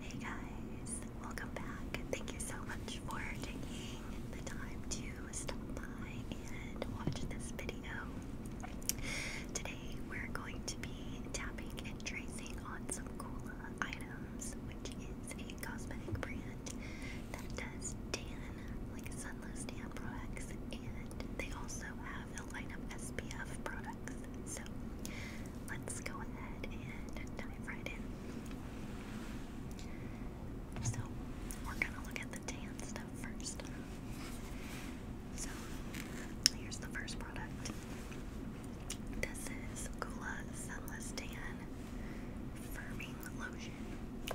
Hey guys, welcome back. Thank you so much for taking the time to stop by and watch this video. Today we're going to be tapping and tracing on some Kula items, which is a cosmetic brand that does tan, like sunless tan products, and they also have a line of SPF products. So let's go ahead and dive right in. So we're gonna look at the tan stuff first. So here's the first product. This is Gula Sunless Tan Firming Lotion.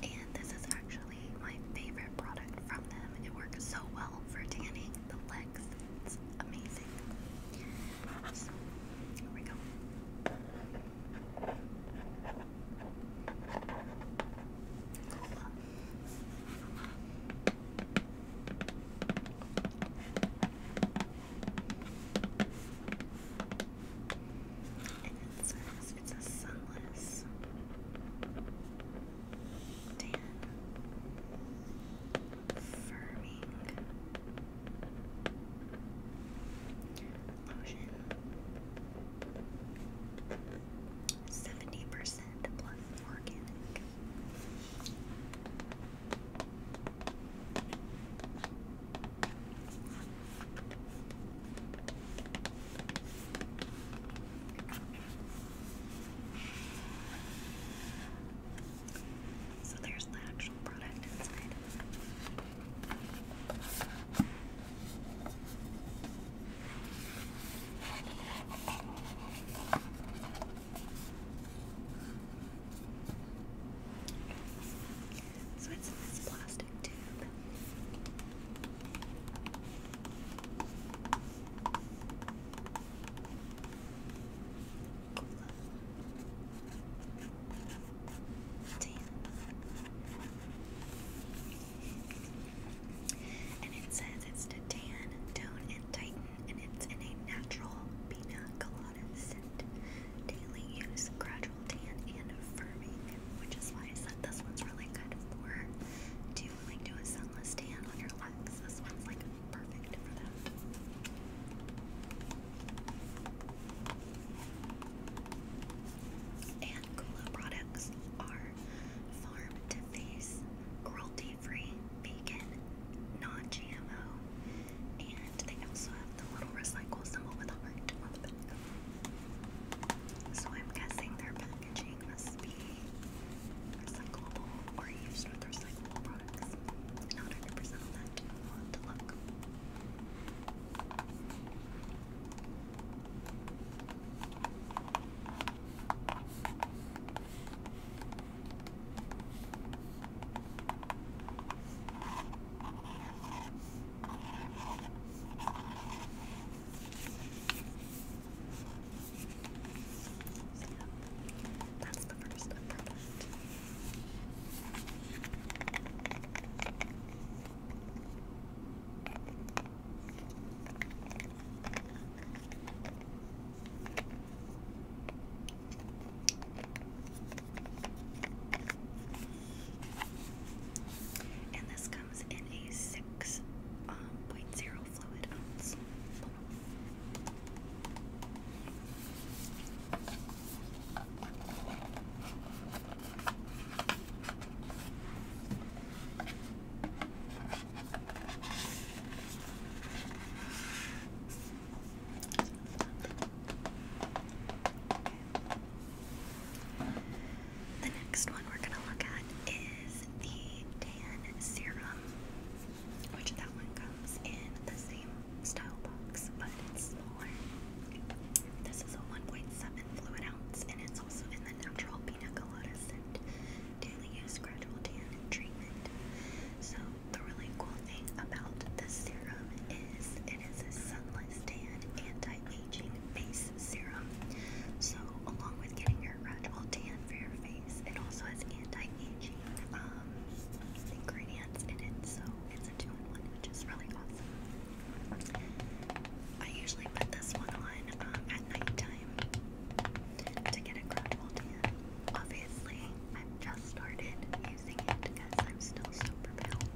And this is actually my favorite product from them. It works so well for tanning the legs. It's amazing. here we go. And it says it's a sunless tan firming lotion. Seventy percent plus organic. So there's the actual product inside. So it's in this plastic tube. And it says it's to tan, tone, and tighten, and it's in a natural pina colada scent. Daily use, gradual tan, and firming, which is why this one's really good for doing like do a sunless tan on your legs. This one's like perfect for that. And Kula products are farm to face, cruelty free, vegan, non GMO, and they also have the little recycle symbol with a heart So I'm guessing their packaging must be recyclable or used with recyclable products. Not 100% on that. will look that's the first product. And this comes in a six um, fluid ounce the next one we're going to look at is the Tan Serum which that one comes in the same style box, but it's smaller. This is a 1.7 fluid ounce, and it's also in the natural pina colada scent daily use gradual tan treatment. So the really cool thing about this serum is it is a sunless tan anti-aging face serum. So along with getting your gradual tan for your face. It also has anti-aging um, ingredients in it, so it's a two-in-one, which is really awesome. I usually put this one on um, at nighttime to get a gradual tan. Obviously, I've just started using it because I'm still super pale,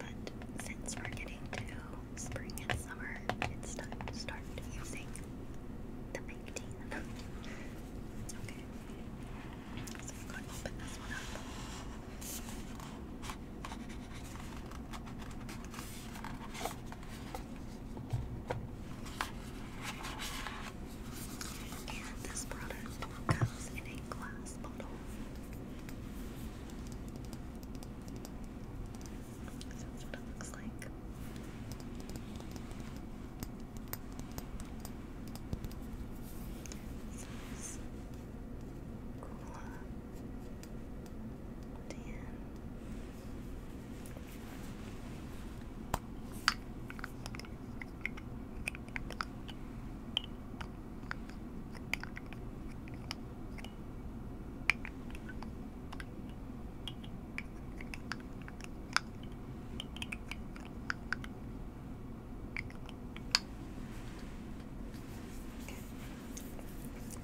but since we're getting to spring and summer, it's time to start the okay. So i open this one up. this product comes in a glass bottle. So that's what it looks like.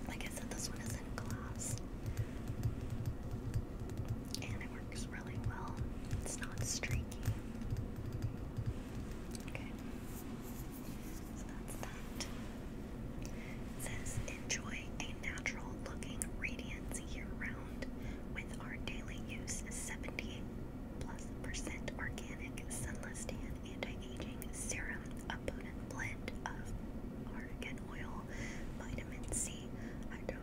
Like I said, this one is in glass. And it works really well. It's not streaky. Okay. So that's that. It says, enjoy a natural looking radiance year round with our daily use 78 plus percent organic sunless tan anti-aging serum, a potent blend of argan oil, vitamin C, hydro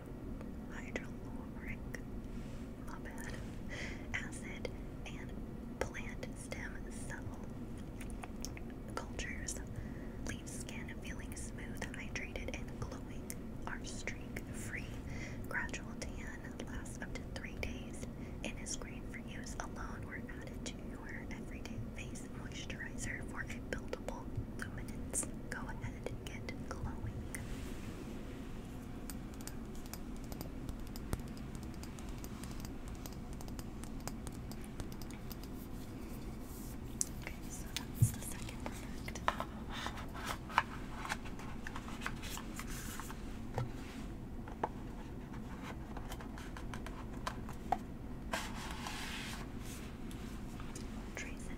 hydroloric my bad, acid, and plant stem cell cultures leave skin feeling smooth, hydrated, and glowing. Our streak-free gradual tan lasts up to three days and is great for use alone or added to your everyday face moisturizer for a buildable luminance. Go ahead and get glowing. Okay, so that's the second product. Trace it.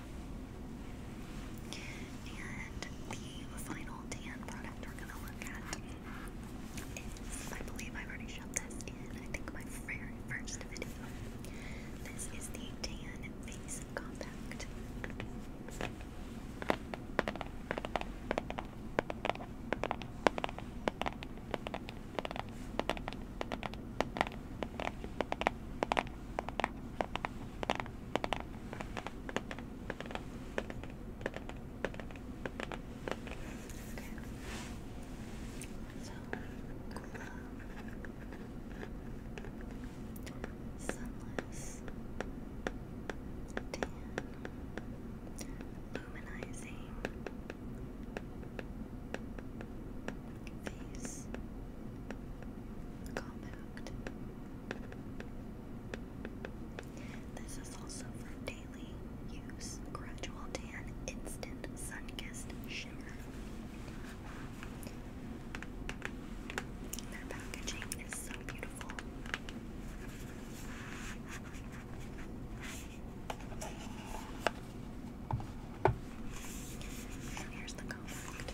And the final tan product we're gonna look at is, I believe I've already shown this in, I think, my very first video. This is the Tan Face Compact. So, sunless, tan, luminizing face, combo product. This is also for daily use. Gradual tan, instant sun-kissed shimmer. Their packaging is so beautiful. here's the compact.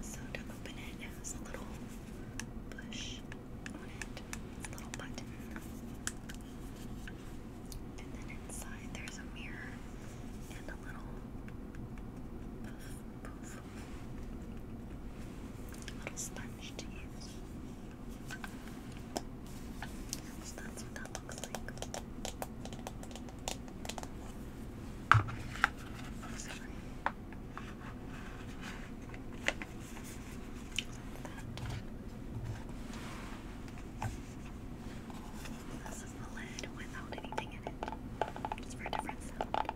So to open it, has a little bush on it, a little button. And then inside there's a mirror and a little poof, poof, a little sponge to use. So that's what that looks like. This is the lid without anything in it, just for a different sound.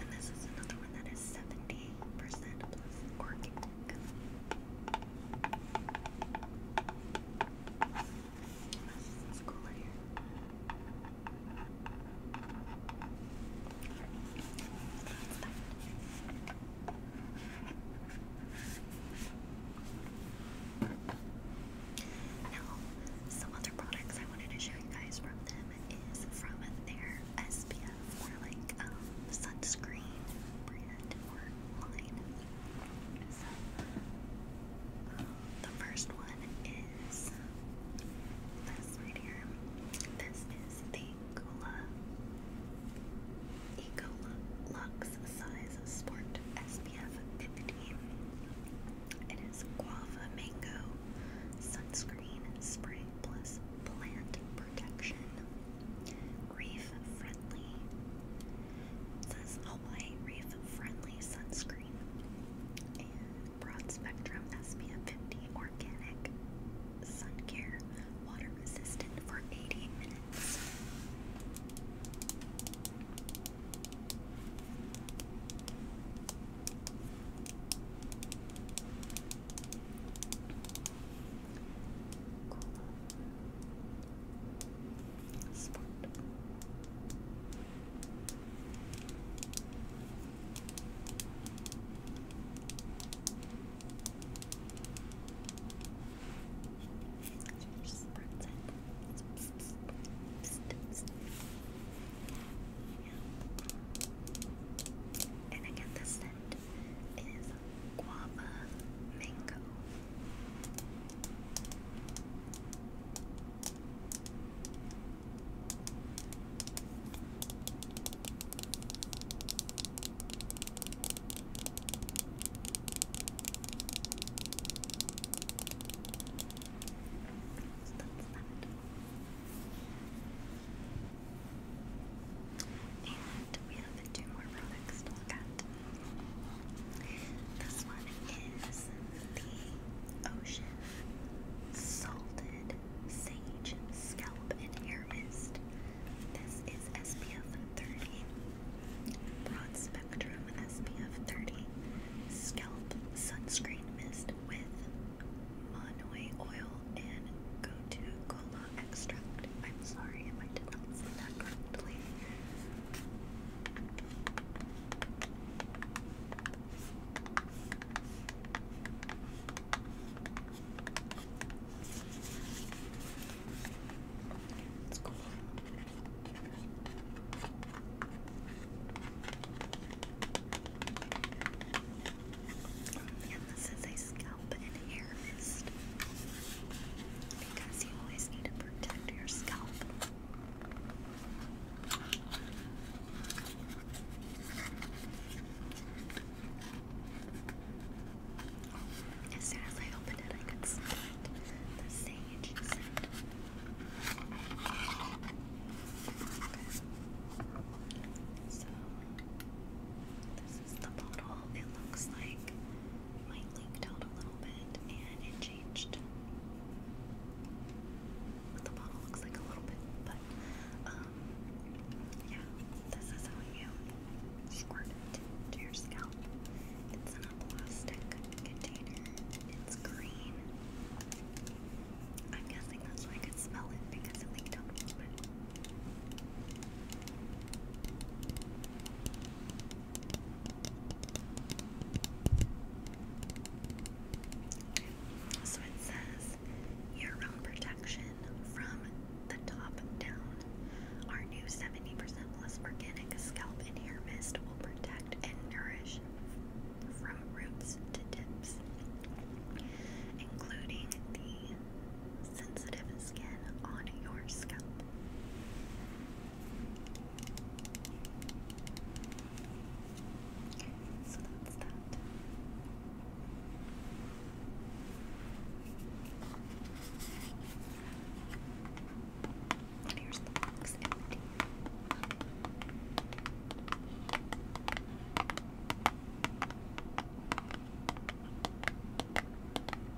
And this is another one that is seventy percent plus organic let some other products I wanted to show you guys from them is from their SPF or like um, sunscreen brand or line is. Uh, the first one is this right here. This is the Cola Eco Lux Size Sport SPF 50. It is guava mango sunscreen spray plus plant protection. Reef friendly this says all white reef friendly sunscreen and broad spectrum SPF 50 organic sun care water resistant for 80 minutes. Smart. Just And again, the scent is guava mango. And we have two more products to look at. This one is the Ocean Salted Sage Scalp and Hair Mist. This is SPF 30, broad spectrum SPF 30 scalp sunscreen mist with Manoi oil and Gotu Cola extract. I'm sorry if I did not say that correctly. It's cool. And this is a scalp and hair because you always need to protect your scalp. As soon as I opened it, I could smell The sage scent. So, the bottle. It looks like mine leaked out a little bit and it changed. the bottle looks like a little bit, but um, yeah, this is how you squirt it to your scalp. It's in a plastic container. It's green. I'm guessing that's why I could smell it because it leaked out so it says your own protection from the top down. Our new 70% plus organic scalp and hair mist will protect and nourish from roots to tips, including the sensitive skin on your scalp. So that's that. here's the empty.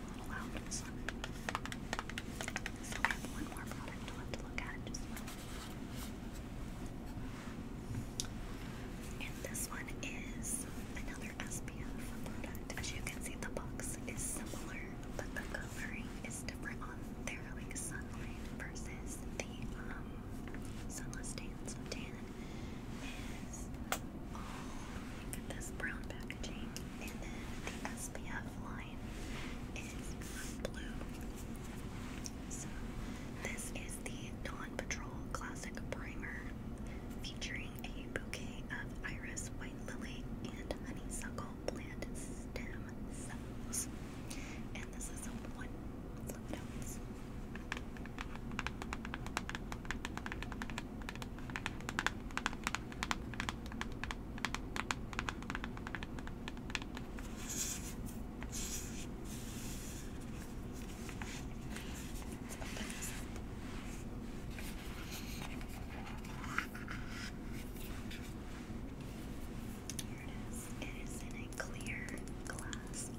And this one is another SPF product. As you can see, the box is similar, but the coloring is different on their like sunlight versus the sunless tan. So tan is all like this brown packaging and then the SPF line is blue. So this is the Dawn Patrol Classic Primer featuring a bouquet of iris, white lily, and honeysuckle plant stem And this is a one here it is. It is in a clear glass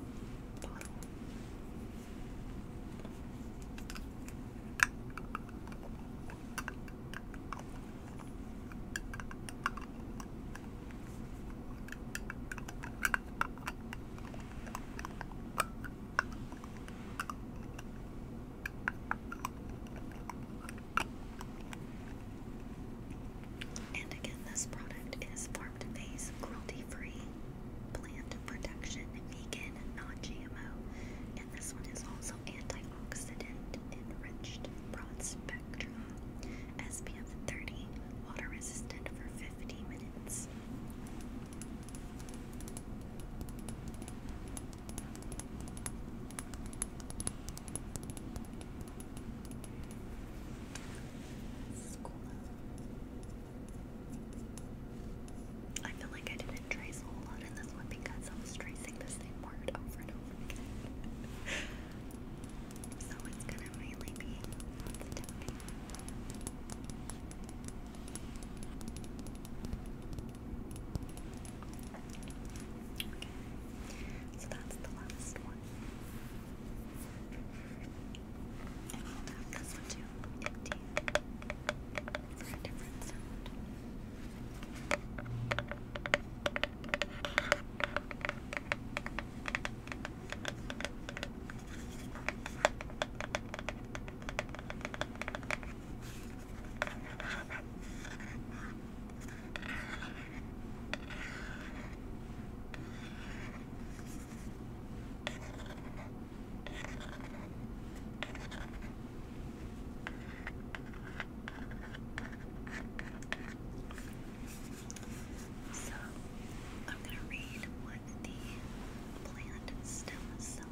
bottle. And again, this product is farm to face, cruelty free, plant protection, vegan, non GMO, this one is also antioxidant enriched, broad spectrum, SPF 30, water resistant for 50 minutes. I feel like I did trace a whole lot in this one because I was tracing the same word over and over again. so it's gonna mainly be so that's the last one. And we'll have this one too for a different sound. Okay. So, I'm going to read what the plant stem cell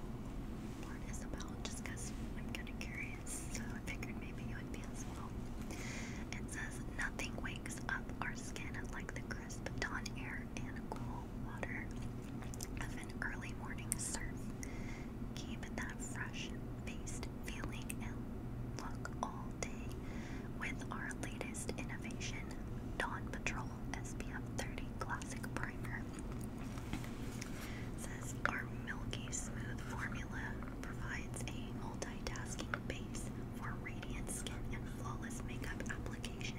part is about just I'm kind of curious. So, I figured maybe you would be as well. It says, Nothing wakes up our skin like the crisp dawn air and cool water of an early morning surf gave that fresh-faced feeling and look all day with our latest innovation, Dawn Patrol SPF 30 Classic Primer. our milky smooth formula provides a multitasking base for radiant skin and flawless makeup application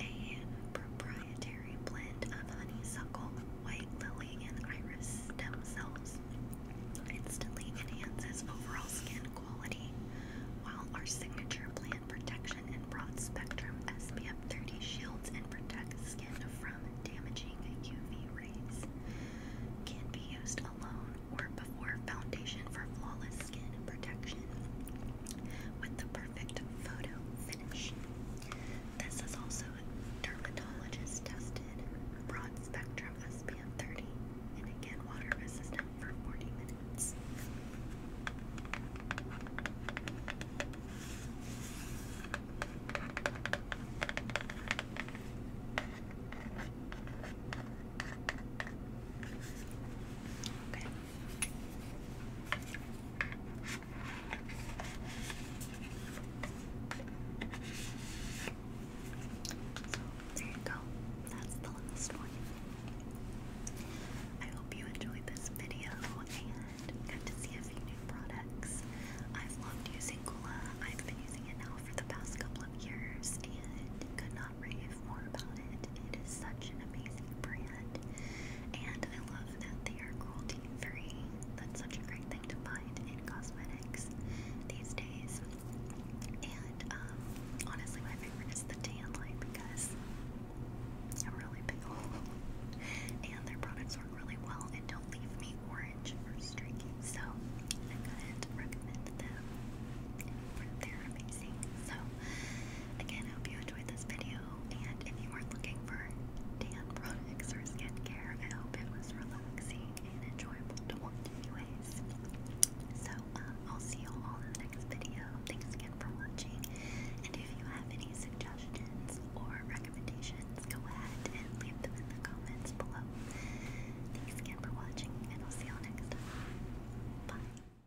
a proprietary blend of honeysuckle, white lily, and iris stem cells. Instantly enhances overall skin quality, while our signature plant protection and broad spectrum SPF 30 shields and protects skin from damaging UV rays. Can be used alone or before foundation for flawless skin protection with the perfect photo finish. This is also dermatologist tested broad spectrum SPF 30 and again water resistant for 40 minutes. Okay. So there you go. That's the last one. I hope you enjoyed this video and got to see a few new products. I've loved using Gula. I've been using it now for the past couple of years and could not rave more about it. It is such an amazing brand. And I love that they are cruelty free. That's such a great thing to find in cosmetics these days. And um, honestly, my favorite is the tan line because it's a really big And their products work really well and don't leave me orange or streaky. So I recommend them. They're amazing amazing. So, again, I hope you enjoyed this video. And if you are looking for tan products or skincare, I hope it was relaxing and enjoyable to watch, anyways. So, uh, I'll see you all in the next video. Thanks again for watching. And if you have any suggestions or recommendations, go ahead and leave them in the comments below. Thanks again for watching, and I'll see you all next time. Bye.